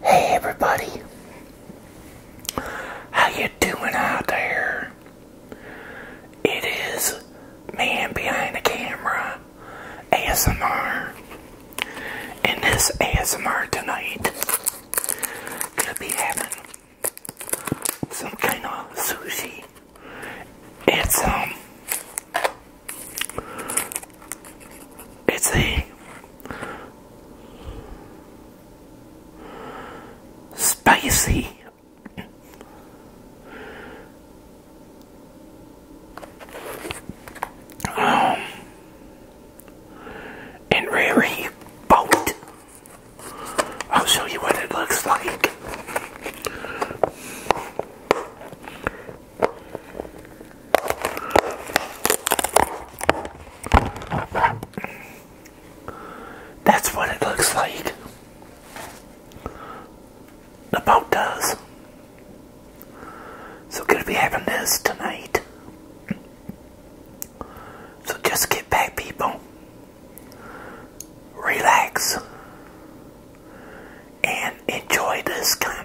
Hey everybody, how you doing out there? It is Man Behind the Camera ASMR, and this ASMR tonight gonna be having some kind of sushi it's um it's a spicy um and rare boat. I'll show you what it looks like. That's what it looks like. The boat does. So gonna be having this tonight. So just get back people relax, and enjoy this content.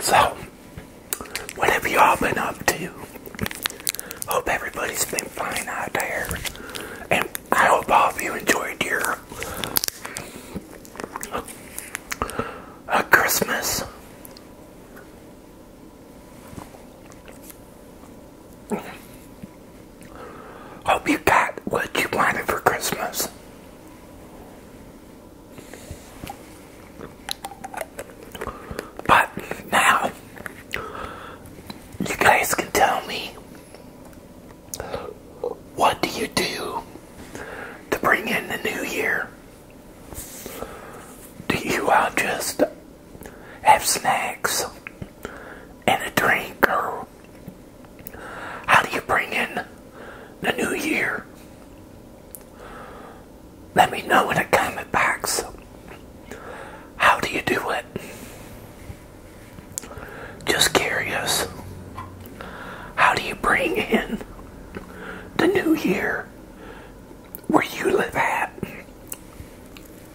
So, what have you all been up to? Hope everybody's been fine out there. And I hope all of you enjoyed your uh, Christmas. Hope you got what you wanted for Christmas. But now, you guys can tell me what do you do to bring in the new year? Do you all just have snacks and a drink or how do you bring in the new year? Let me know in the comment box. How do you do it? Just curious. How do you bring in the new year where you live at?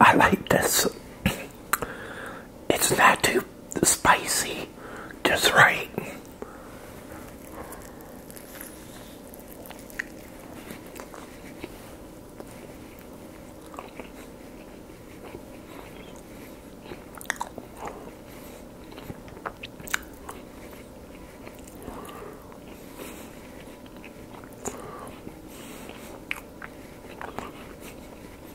I like this it's not too spicy, just right.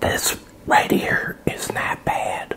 This right here is not bad.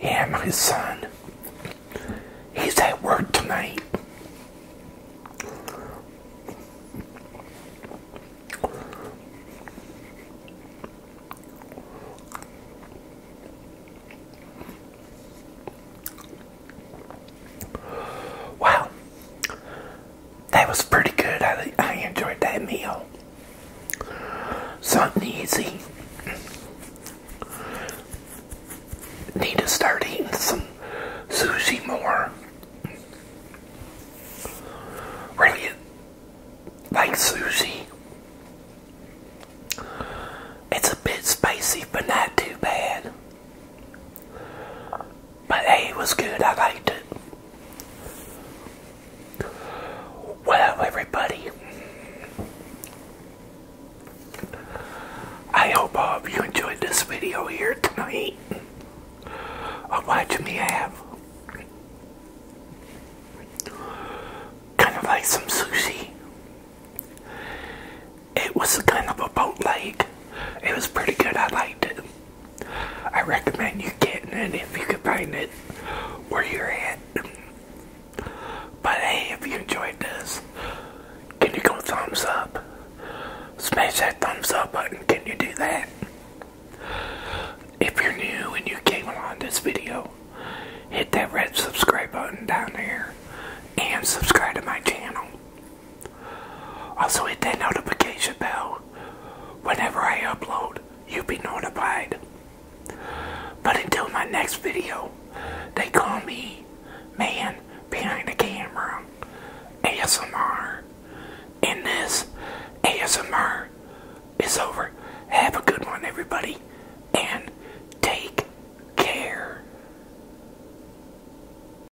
Yeah, my son. He's at work tonight. Wow that was pretty good. I, enjoyed that meal. Something easy. Need to start eating some sushi more. Really like sushi. It's a bit spicy, but not too bad. But hey, it was good. I liked it. Well, everybody, I hope all of you enjoyed this video here tonight of watching me have kind of like some sushi. It was kind of a boat leg. It was pretty good. I liked it. I recommend you getting it if you can find it where you're at. But hey, if you enjoyed this, can you go thumbs up? Smash that thumbs up button. Can you do that? If you're new and you came along this video, hit that red subscribe button down there and subscribe to my channel. Also, hit that notification bell. Whenever I upload, you'll be notified. But until my next video, they call me Man Behind the Camera ASMR. And this ASMR is over. Have a good one, everybody, and take care.